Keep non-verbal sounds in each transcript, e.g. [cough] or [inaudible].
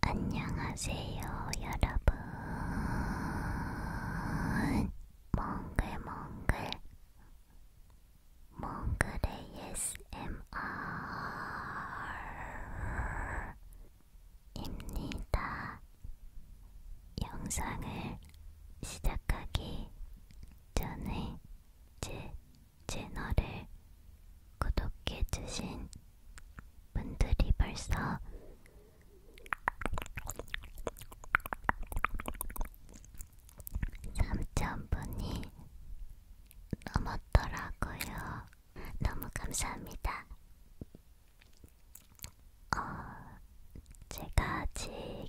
안녕하세요, 여러분. 몽글몽글 몽글 ASMR입니다. 영상을 시작하기 전에 제 채널을 구독해주신 분들이 벌써 3,000분이 넘었더라고요. 너무 감사합니다. 어, 제가 아직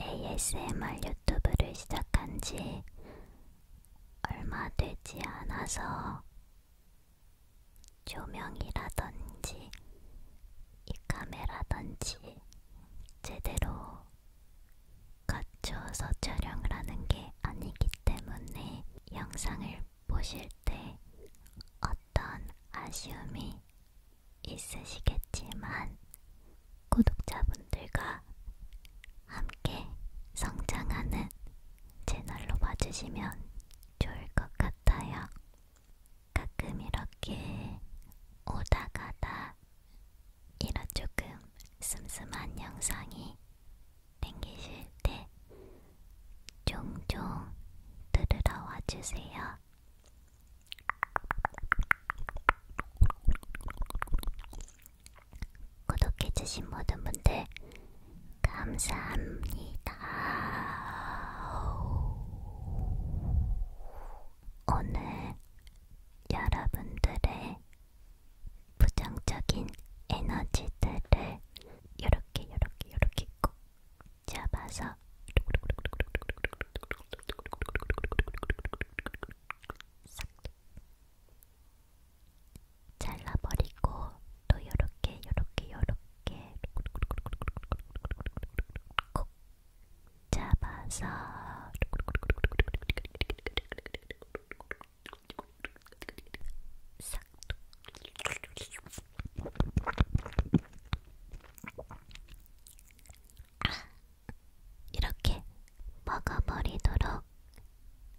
ASMR 유튜브를 시작한 지 얼마 되지 않아서 조명이라든지 이 카메라든지 제대로 갖춰서 촬영을 하는 게 아니기 때문에 영상을 보실 때 어떤 아쉬움이 관심이 있으시겠지만 구독자분들과 함께 성장하는 채널로 봐주시면 좋을 것 같아요. 가끔 이렇게 오다가다 이런 조금 슴슴한 영상이 땡기실 때 종종 들으러 와주세요. 구독해주신 모든 분들 감사합니다. 오늘 여러분들의 부정적인 에너지들을 이렇게 이렇게 이렇게 꼭 잡아서 있다. 싹 잘라버리고 또 요렇게 요렇게 요렇게 콕 잡아서 싹 아, 이렇게 먹어버리도록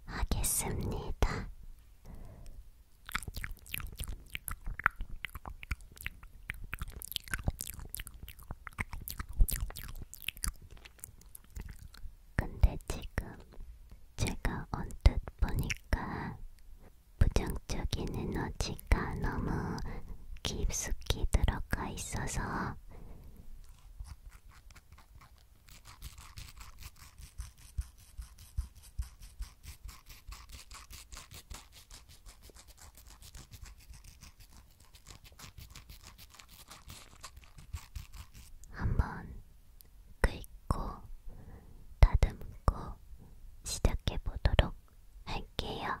하겠습니다. 근데 지금 제가 언뜻 보니까 부정적인 에너지 보니까 너무 깊숙이 들어가 있어서 한번 긁고 다듬고 시작해 보도록 할게요.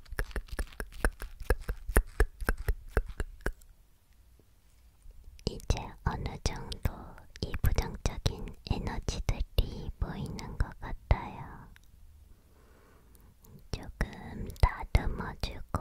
이제 어느 정도 이 부정적인 에너지들이 보이는 것 같아요. 조금 다듬어주고,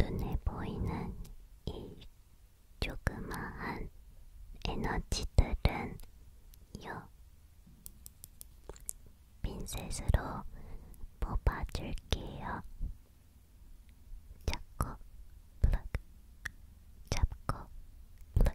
눈에 보이는 이 조그마한 에너지들은 요 핀셋으로 뽑아줄게요. 잡고 플럭 잡고 플럭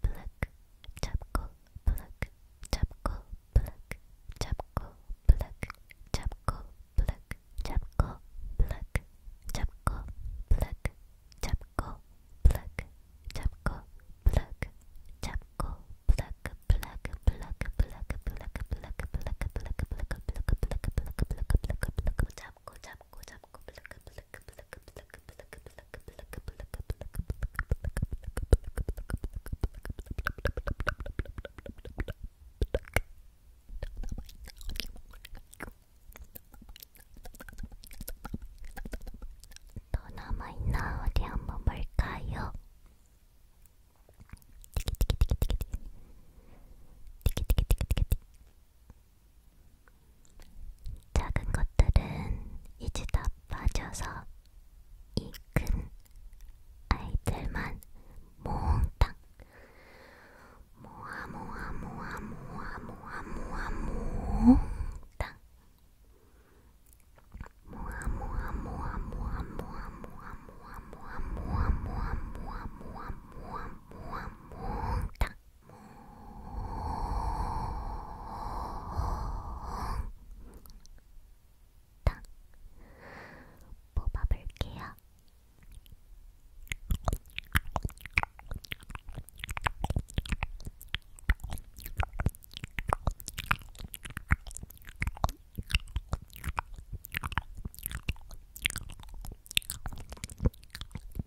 블랙 잡고 블랙 잡고 블랙 잡고 블랙 잡고 블랙 잡고 블랙 잡고 블랙 잡고 블랙 잡고 블랙 잡고 블랙 블랙 블랙 블랙 블랙 블랙 블랙 블랙 블랙 블랙 블랙 블랙 블랙 블랙 블랙 잡고 잡고 잡고 블랙 또 남아있나 어디 한번 볼까요? 티키티키티키티키티 티키티키티키티 작은 것들은 이제 다 빠져서 이 큰 아이들만 몽땅 모아 모아 모아 모아 모아 모아 몽땅 모아 모아 모아 모아 모아 모아 모아 모아 모아 모아 모아 모아 모아 모아 몽땅 다 뽑아볼게요.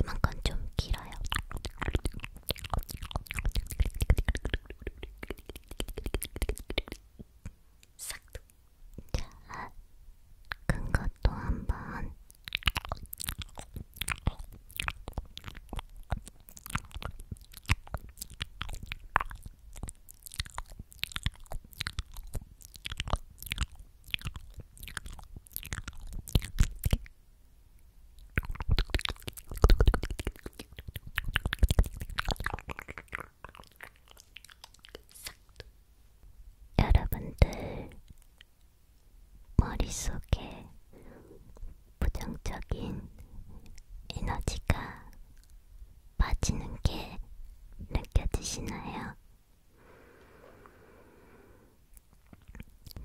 이만큼 좀 길어요. 싹둑. 자, 큰 것도 한번. 여러분들 머릿속에 부정적인 에너지가 빠지는 게 느껴지시나요?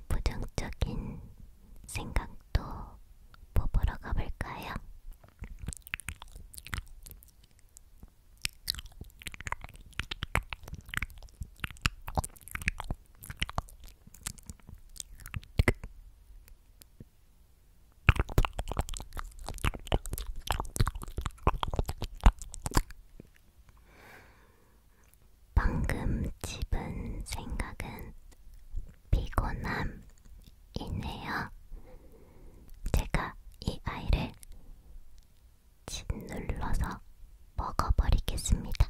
부정적인 생각도 뽑으러 가볼까요? 방금 집은 생각은 피곤함이네요. 제가 이 아이를 짓눌러서 먹어버리겠습니다.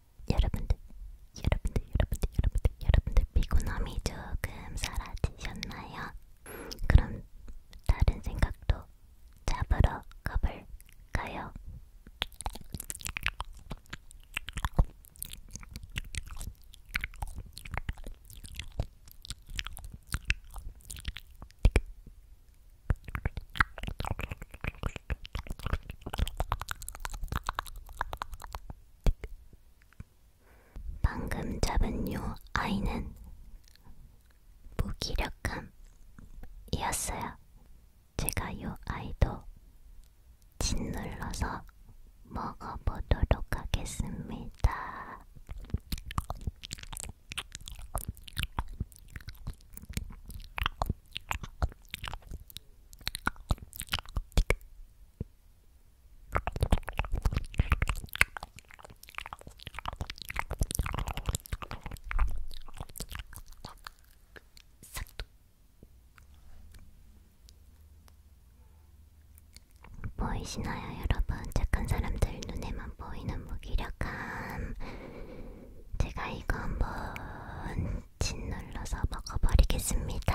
여러분들, 여러분들, 여러분들, 여러분들, 여러분들 피곤함이 조금 사라지셨나요? 그럼 다른 생각도 잡으러 가볼까요? 방금 잡은 요 아이는 무기력함이었어요. 제가 요 아이도 짓눌러서 먹어보도록 하겠습니다. 보이시나요, 여러분? 착한 사람들 눈에만 보이는 무기력함. 제가 이거 한번 짓눌러서 먹어버리겠습니다. 네.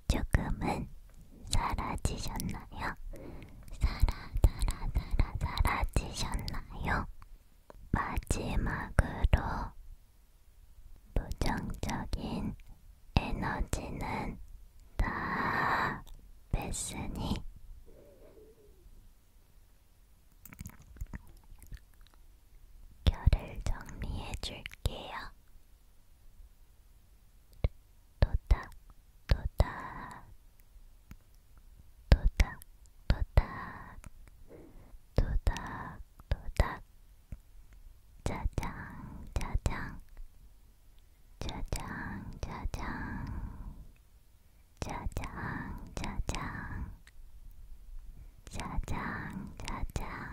조금은 사라지셨나요? 사라, 사라, 사라, 사라지셨나요? 마지막으로 부정적인 에너지는 다 뺐으니 결을 정리해 줄게요. 도닥 도닥 도닥 도닥 도닥 도닥 짜장 짜장 짜장 짜장 짜장 짜장 짜장 짜장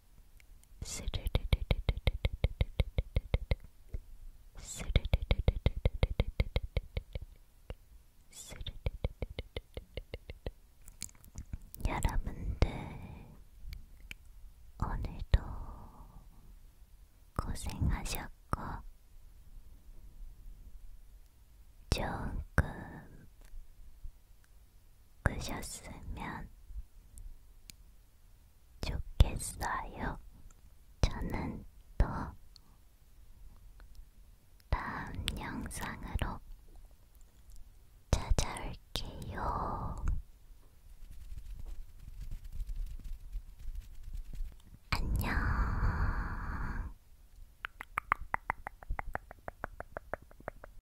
[laughs] 여러분들 오늘도 고생하셨고 좋은 꿈 끄셨으면 좋겠어요. 저는 또 다음 영상으로 찾아올게요. 안녕.